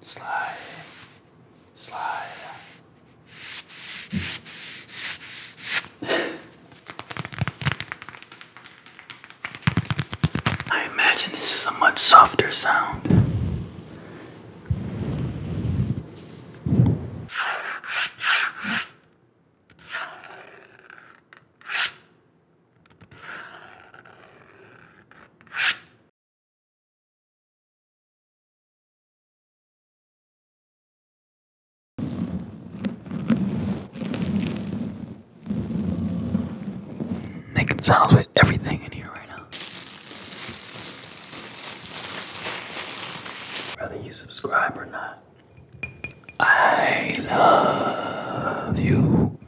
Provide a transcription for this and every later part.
Slide, slide. I imagine this is a much softer sound. Making sounds with everything in here right now. Whether you subscribe or not, I love you.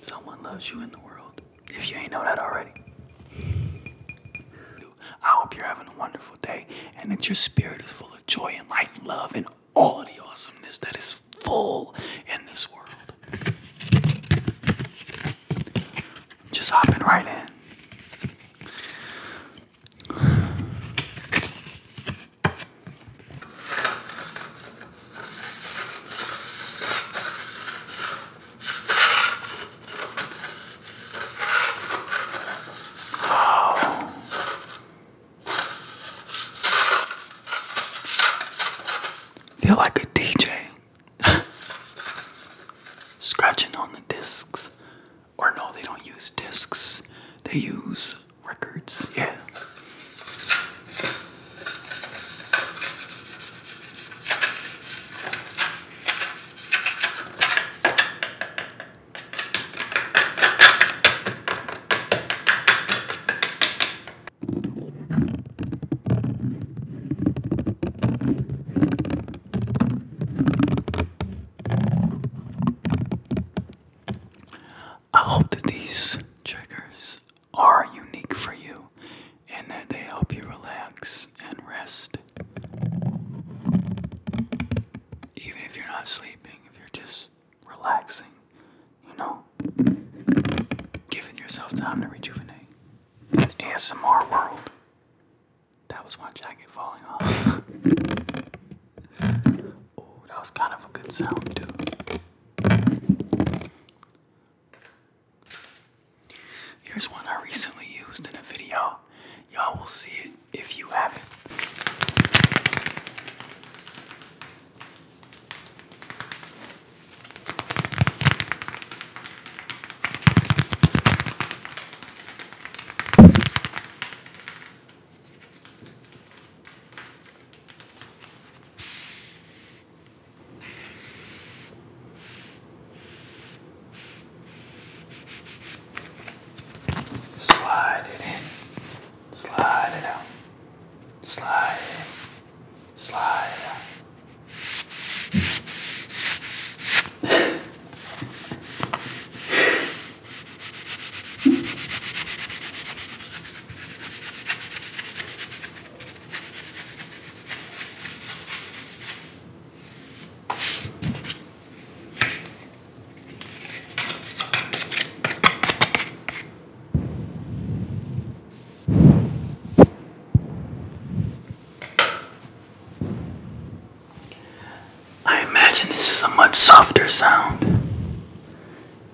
Someone loves you in the world if you ain't know that already. I hope you're having a wonderful day and that your spirit is full of joy and light and love and all of the awesomeness that is full in this world. Just hopping right in. Oh. Feel like a DJ scratching on the discs. Or no, they don't use discs. They use records. Yeah. I hope that these triggers are unique for you and they help you relax and rest. Even if you're not sleeping, if you're just relaxing, you know, giving yourself time to rejuvenate. In ASMR world, that was my jacket falling off. oh, that was kind of a good sound, too. Here's one I recently used in a video. Y'all will see it if you haven't. Slide it in, slide it out, slide it in, slide it out. I imagine this is a much softer sound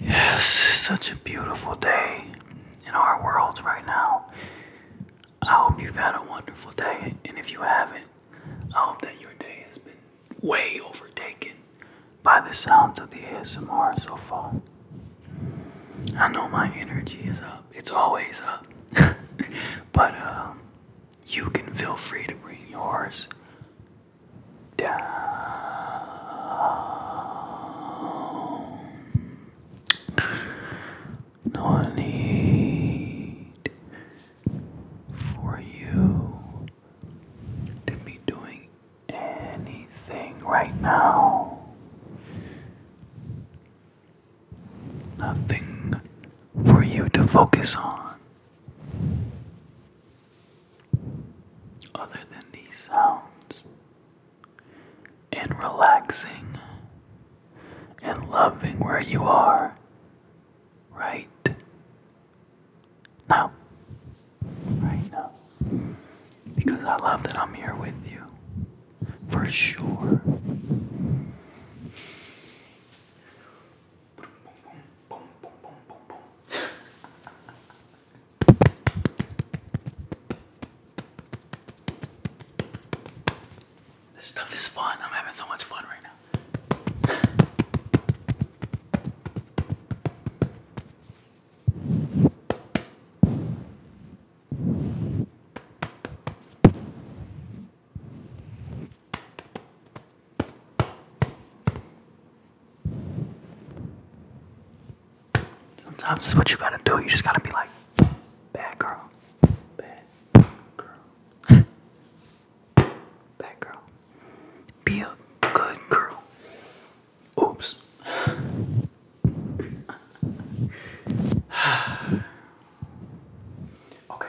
Yes, such a beautiful day in our world right now. I hope you've had a wonderful day, and if you haven't, I hope that your day has been way overtaken by the sounds of the ASMR so far. I know my energy is up, it's always up, but um, you can feel free to bring yours down. No need for you to be doing anything right now. Nothing for you to focus on. Other than these sounds, and relaxing and loving where you are right now. Right now. Because I love that I'm here with you. For sure. This stuff is fun. I'm having so much fun right now. Sometimes this is what you gotta do. You just gotta be like, bad girl, bad girl, bad girl. Be a good girl. Oops. okay.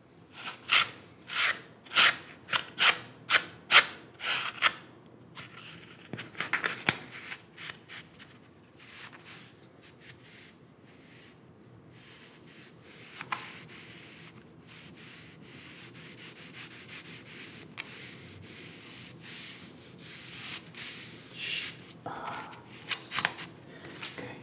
Ah, okay.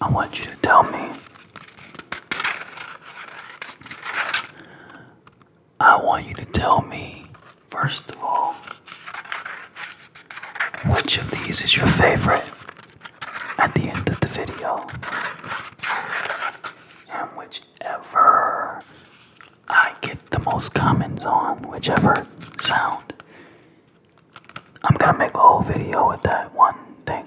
I want you to tell me. I want you to tell me, first of all, which of these is your favorite at the end of the video. And whichever I get the most comments on whichever sound. I'm gonna make a whole video with that one thing.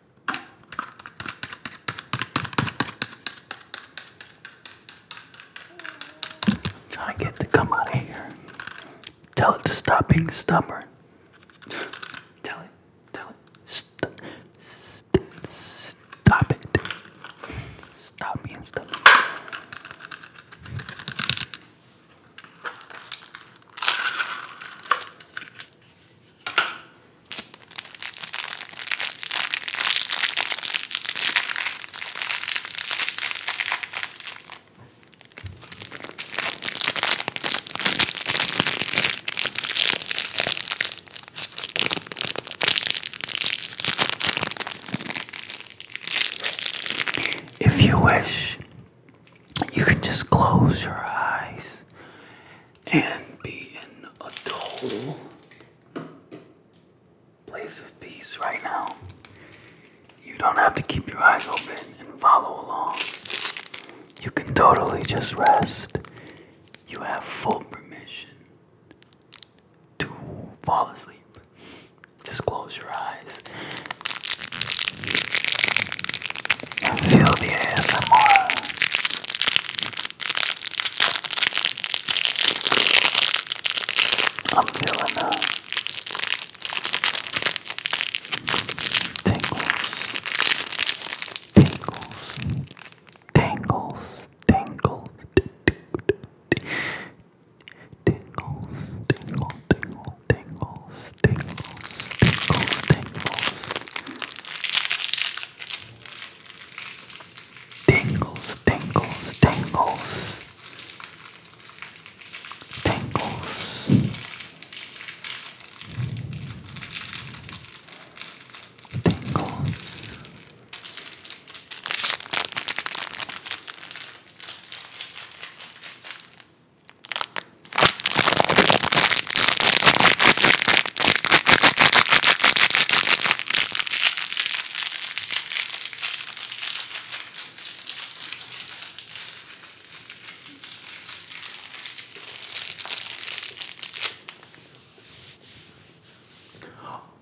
Trying to get to come out of here. Tell it to stop being stubborn. Tell it, tell it, stop it. Stop being stubborn. If you wish, you can just close your eyes and be in a total place of peace right now. You don't have to keep your eyes open and follow along. You can totally just rest. You have full permission to fall asleep. Just close your eyes. Feel the ASMR. I'm feeling the uh, tingles, tingles, tingles, tingles. Tingles, tingle, tingle, tingles, tingles, tingles, tingles. Tingles, tingles, tingles. Tingles. Tingles.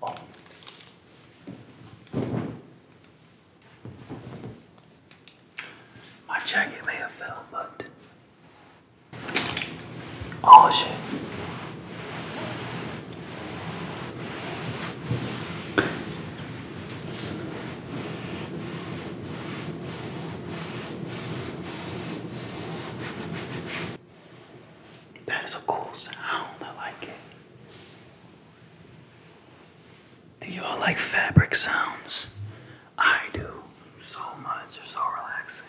Oh. My jacket may have fell, but Oh shit. That is a cool sound. I like it. Do you all like fabric sounds? I do so much. They're so relaxing.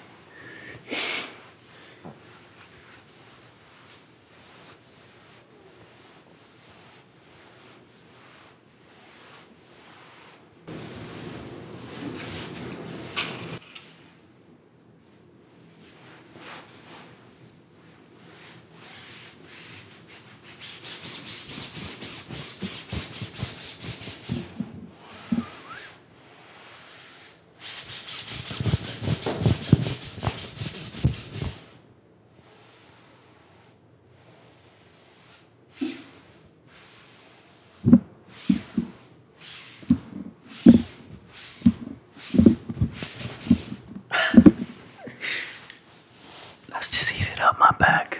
Let's just eat it up my back.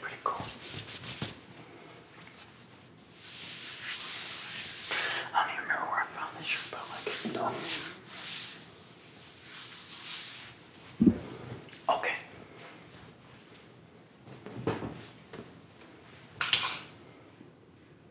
Pretty cool. I don't even remember where I found this shirt, but like it's done. Okay.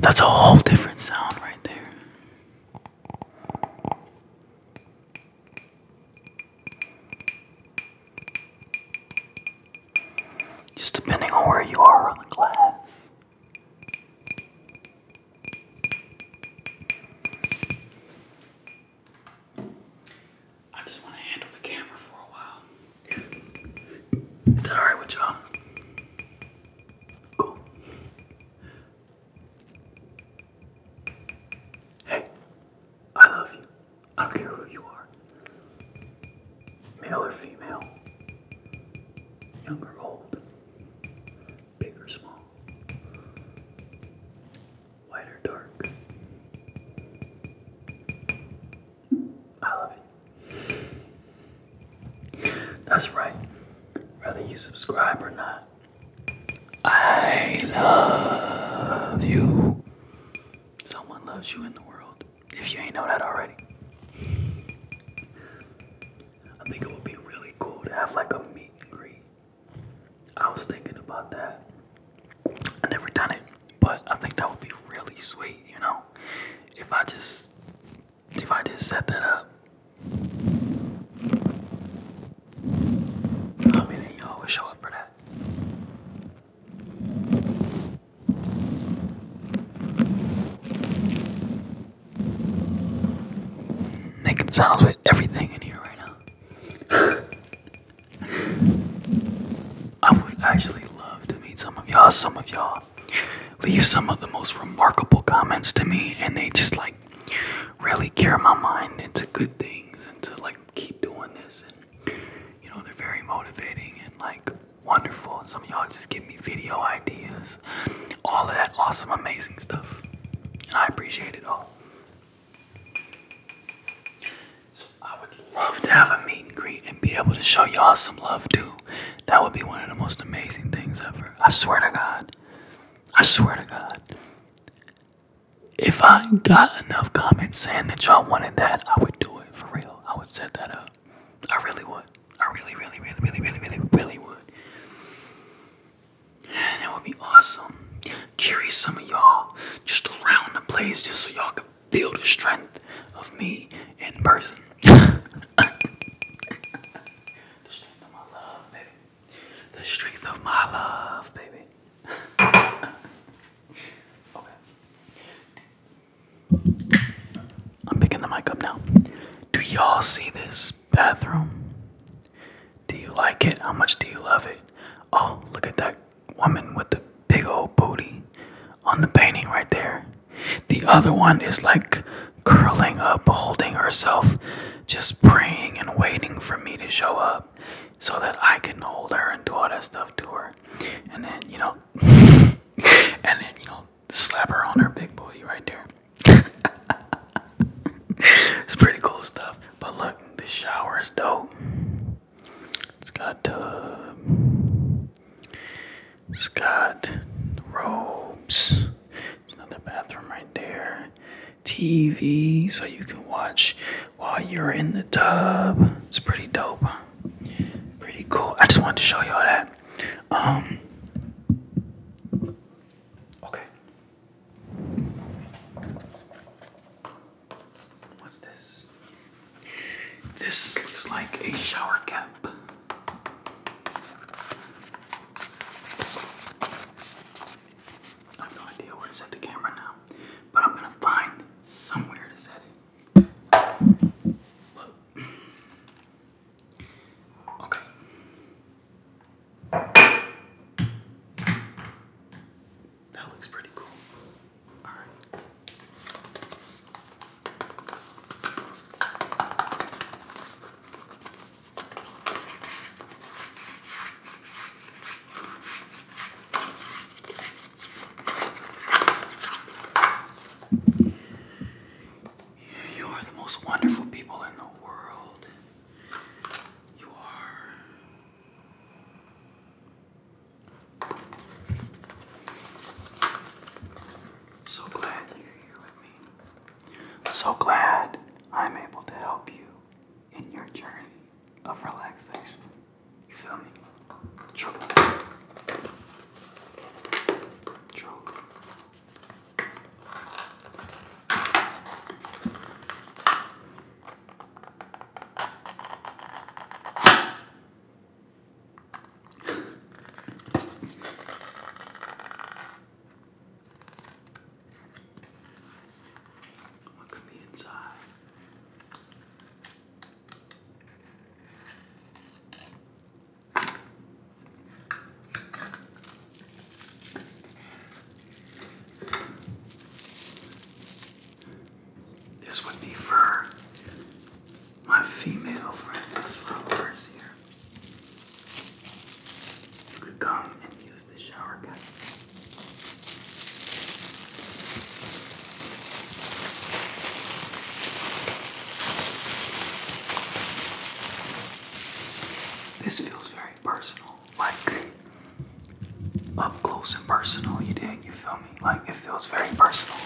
That's a whole different sound right there. Just depending on where you are on the glass. I just want to handle the camera for a while. Is that alright with y'all? Cool. Hey, I love you. I don't care who you are. Male or female. Young or old. Big or small. White or dark? I love it. That's right. Whether you subscribe or not, I love you. Someone loves you in the world. If you ain't know that already, I think it would be really cool to have like a meet greet I was thinking about that. I never done it, but I think that would be really sweet, you know. If I just if I just set that up. I mean you always show up for that. Making sounds with everything in here right now. I would actually love to meet some of y'all. Some of y'all leave some of the most remarkable comments to me, and they just like really cure my mind into good things and to like keep doing this. And you know, they're very motivating and like wonderful. Some of y'all just give me video ideas, all of that awesome, amazing stuff. And I appreciate it all. So I would love to have a meet and greet and be able to show y'all some love too. That would be one of the most amazing things ever. I swear to God. I swear to God. If I got enough comments saying that y'all wanted that, I would do it for real. I would set that up. I really would. I really, really, really, really, really, really, really would. That would be awesome. Carry some of y'all just around the place just so y'all can feel the strength of me in person. the strength of my love, baby. The strength of my love, baby. okay. I'm picking the mic up now. Do y'all see this bathroom? Do you like it? How much do you love it? Oh, look at that woman with the big old booty on the painting right there. The other one is like curling up, holding herself, just praying and waiting for me to show up so that I can hold her and do all that stuff to her. And then, you know, and then, you know, slap her on her big booty right there. it's pretty cool stuff. But look, the shower is dope. It's got tub. Uh, it's got robes. There's another bathroom right there. TV, so you can watch while you're in the tub. It's pretty dope. Pretty cool. I just wanted to show y'all that. Um, okay. What's this? This looks like a shower cap. I have no idea where to set the camera now, but I'm gonna find somewhere to set it. Okay. That looks pretty cool. All right. You are the most wonderful people in the world. You are so glad you're here with me. So glad I'm able to help you in your journey of relaxation. You feel me? Truly. Truly. What could be inside? This would be for my female friends, followers here. You could come and use the shower cap. This feels very personal, like up close and personal. You did, You feel me? Like it feels very personal.